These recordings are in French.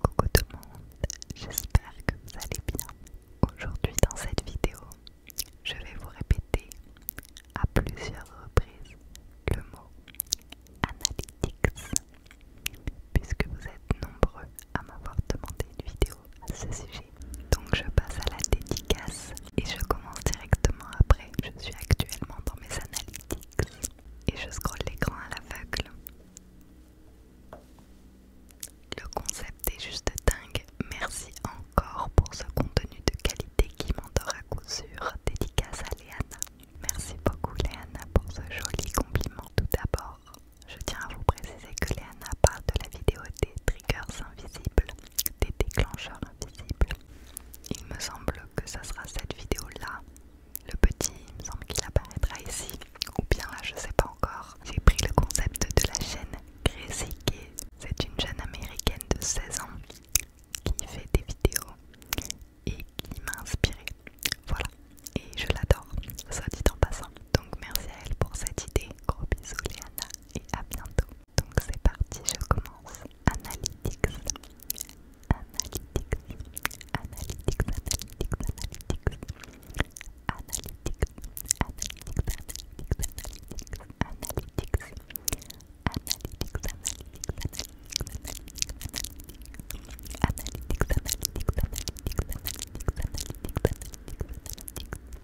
Coucou tout le monde, j'espère que vous allez bien. Aujourd'hui dans cette vidéo, je vais vous répéter à plusieurs reprises le mot analytics, puisque vous êtes nombreux à m'avoir demandé une vidéo à ce sujet. Donc je passe à la dédicace et je commence directement après. Je suis actuellement dans mes analytics et je scrolle l'écran à l'aveugle. Le concept est juste dingue. Merci encore pour ce contenu de qualité qui m'endort à coup sûr. Dédicace à Léana. Merci beaucoup Léana pour ce joli compliment tout d'abord. Je tiens à vous préciser que Léana parle de la vidéo des triggers invisibles, des déclencheurs il me semble que ça sera cette vidéo-là. Le petit, me semble qu'il apparaîtra ici. Ou bien là, je sais pas encore. J'ai pris le concept de la chaîne Gracey, C'est une jeune américaine de 16 ans qui fait des vidéos et qui m'a inspiré, Voilà. Et je l'adore, soit dit en passant. Donc merci à elle pour cette idée. Gros bisous Léana et à bientôt. Donc c'est parti, je commence. Analytics. Analytics. Analytics. Analytics. Analytics. Analytics. Analytics. Analytics. Analytics. Analytics. Analytics. Analytics, analytics, analytics, analytics, analytics, analytics, analytics, analytics, analytics, analytics, analytics,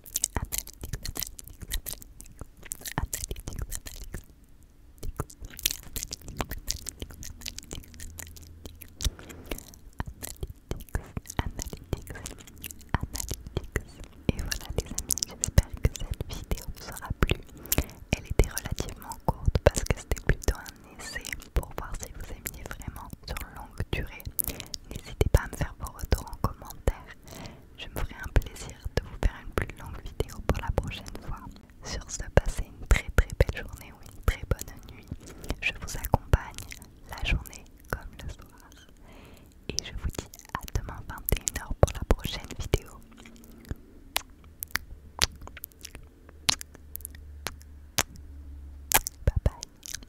Et voilà les amis, j'espère que cette vidéo vous aura plu. Elle était relativement courte parce que c'était plutôt un essai pour voir si vous aimiez vraiment sur longue durée. N'hésitez pas à me faire vos retours en commentaire je me ferai un plaisir de vous faire une plus longue vidéo pour la prochaine fois. Sur ce, passez une très très belle journée ou une très bonne nuit. Je vous accompagne la journée comme le soir. Et je vous dis à demain 21h pour la prochaine vidéo. Bye bye.